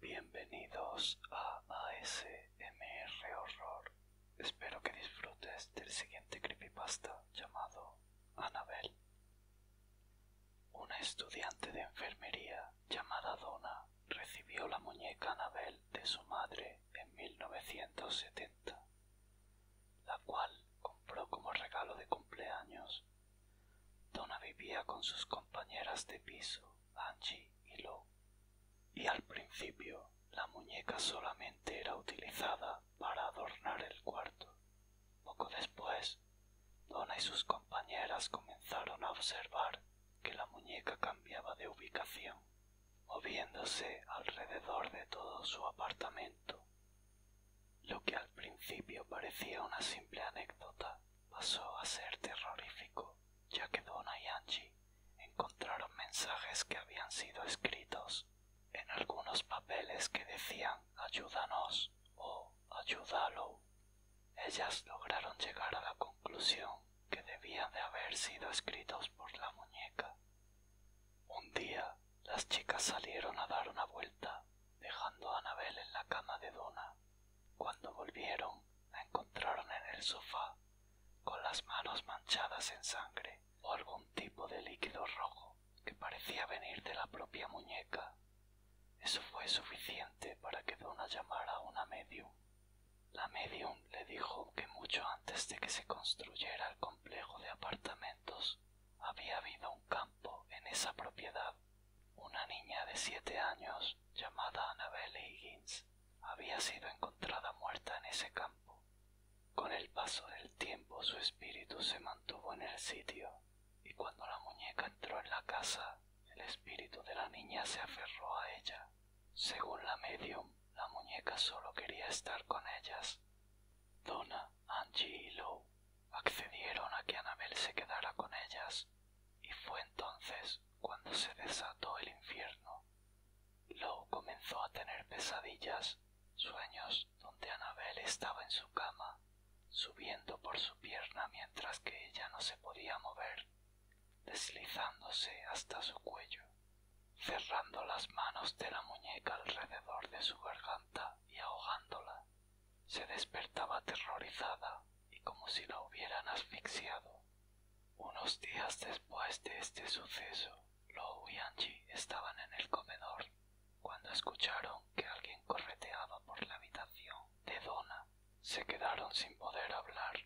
Bienvenidos a ASMR Horror. Espero que disfrutes del siguiente creepypasta llamado Annabel. Una estudiante de enfermería llamada Donna recibió la muñeca Annabel de su madre en 1970 la cual compró como regalo de cumpleaños. Dona vivía con sus compañeras de piso, Angie y Lou, y al principio la muñeca solamente era utilizada para adornar el cuarto. Poco después, Dona y sus compañeras comenzaron a observar que la muñeca cambiaba de ubicación moviéndose alrededor de todo su apartamento. Lo que al principio parecía una simple anécdota pasó a ser terrorífico, ya que Donna y Angie encontraron mensajes que habían sido escritos en algunos papeles que decían ayúdanos o ayúdalo. Ellas lograron llegar a la conclusión que debían de haber sido escritos por la muñeca un día las chicas salieron a dar una vuelta, dejando a Anabel en la cama de dona Cuando volvieron, la encontraron en el sofá, con las manos manchadas en sangre o algún tipo de líquido rojo que parecía venir de la propia muñeca. Eso fue suficiente para que dona llamara a una medium. La medium le dijo que mucho antes de que se construyera el complejo de apartamentos había habido un campo en esa propiedad. Una niña de siete años llamada Annabelle Higgins había sido encontrada muerta en ese campo. Con el paso del tiempo su espíritu se mantuvo en el sitio y cuando la muñeca entró en la casa, el espíritu de la niña se aferró a ella según la medium, la muñeca solo quería estar con ellas. Donna, Angie y Lou accedieron a que anabel se quedara con ellas, y fue entonces cuando se desató el infierno. Lou comenzó a tener pesadillas, sueños donde anabel estaba en su cama, subiendo por su pierna mientras que ella no se podía mover, deslizándose hasta su cuello cerrando las manos de la muñeca alrededor de su garganta y ahogándola. Se despertaba aterrorizada y como si la hubieran asfixiado. Unos días después de este suceso, Lou y Angie estaban en el comedor cuando escucharon que alguien correteaba por la habitación de dona Se quedaron sin poder hablar.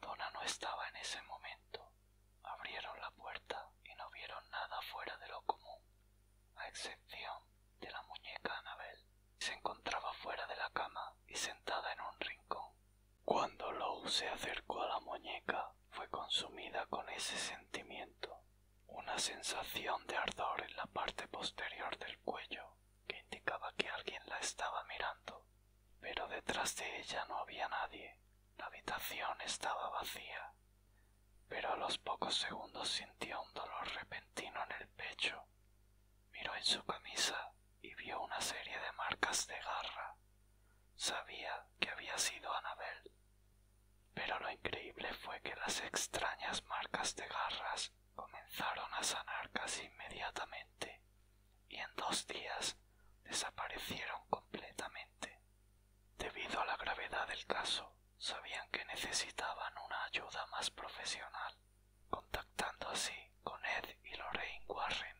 dona no estaba en ese momento abrieron la puerta y no vieron nada fuera de lo común, a excepción de la muñeca Anabel. Se encontraba fuera de la cama y sentada en un rincón. Cuando Lou se acercó a la muñeca, fue consumida con ese sentimiento, una sensación de ardor en la parte posterior del cuello que indicaba que alguien la estaba mirando pero detrás de ella no había nadie. La habitación estaba vacía, pero a los pocos segundos sintió un dolor repentino en el pecho. Miró en su camisa y vio una serie de marcas de garra. Sabía que había sido Anabel, pero lo increíble fue que las extrañas marcas de garras comenzaron a sanar casi inmediatamente y en dos días desaparecieron completamente. Debido a la gravedad del caso, sabían que necesitaban una ayuda más profesional, contactando así con Ed y Lorraine Warren.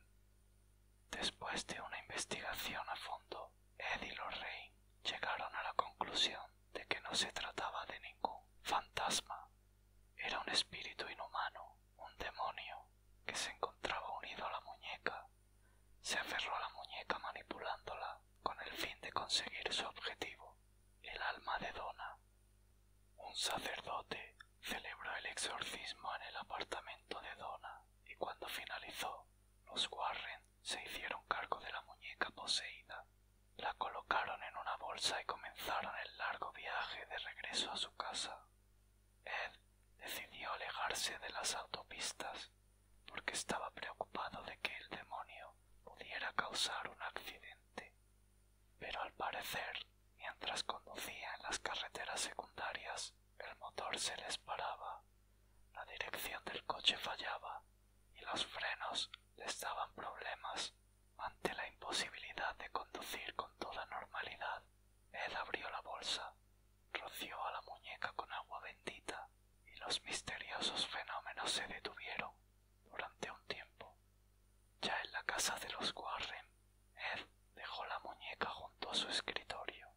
Después de una investigación a fondo, Ed y Lorraine llegaron a la conclusión de que no se trataba de ningún fantasma, era un espíritu inhumano un demonio que se encontraba unido a la muñeca se aferró a la muñeca manipulándola con el fin de conseguir su objetivo, el alma de dona Un sacerdote celebró el exorcismo en el apartamento de dona y cuando finalizó, los Warren se hicieron cargo de la muñeca poseída, la colocaron en una bolsa y comenzaron el largo viaje de regreso a su casa. Ed decidió alejarse de las autopistas porque estaba preocupado de que el demonio pudiera causar un accidente. Pero al parecer, mientras conducía en las carreteras secundarias, el motor se les paraba, la dirección del coche fallaba y los frenos les daban problemas. Ante la imposibilidad de conducir con toda normalidad, Ed abrió la bolsa roció a la muñeca con agua bendita y los misteriosos fenómenos se detuvieron durante un tiempo. Ya en la casa de los Warren, Ed dejó la muñeca junto a su escritorio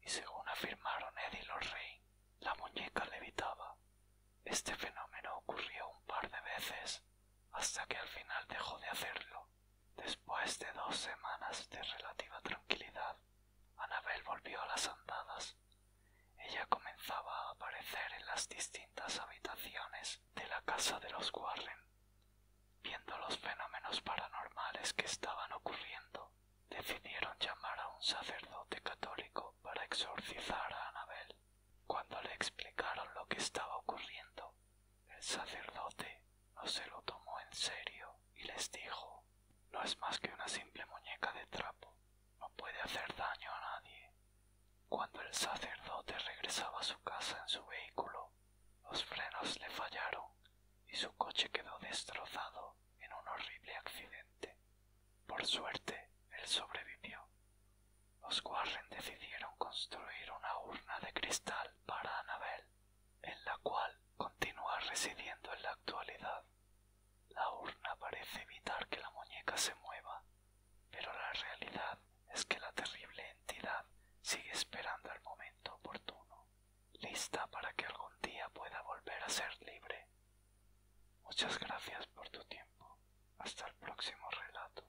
y según afirmaron Ed y los Rain, la muñeca levitaba. Este fenómeno ocurrió un par de veces hasta que al final dejó de hacerlo. Después de dos semanas de relativa tranquilidad, Anabel volvió a las andadas. Ella comenzaba a aparecer en las distintas habitaciones de la casa de los Warren, viendo los fenómenos paranormales que estaban ocurriendo. Decidieron llamar a un sacerdote católico para exorcizar a Anabel. Cuando le explicaron lo que estaba ocurriendo, el sacerdote no se lo tomó en serio y les dijo No es más que una simple muñeca de trapo, no puede hacer daño a nadie. Cuando el sacerdote regresaba a su casa en su vehículo, los frenos le fallaron y su coche quedó destrozado en un horrible accidente. Por suerte, él sobrevivió. Los Warren decidieron construir una urna de cristal para Anabel en la cual continúa residiendo en la actualidad. La urna parece evitar que la muñeca se mueva, pero la realidad es que la terrible entidad sigue esperando el momento oportuno, lista para que algún día pueda volver a ser libre. Muchas gracias por tu tiempo. Hasta el próximo relato.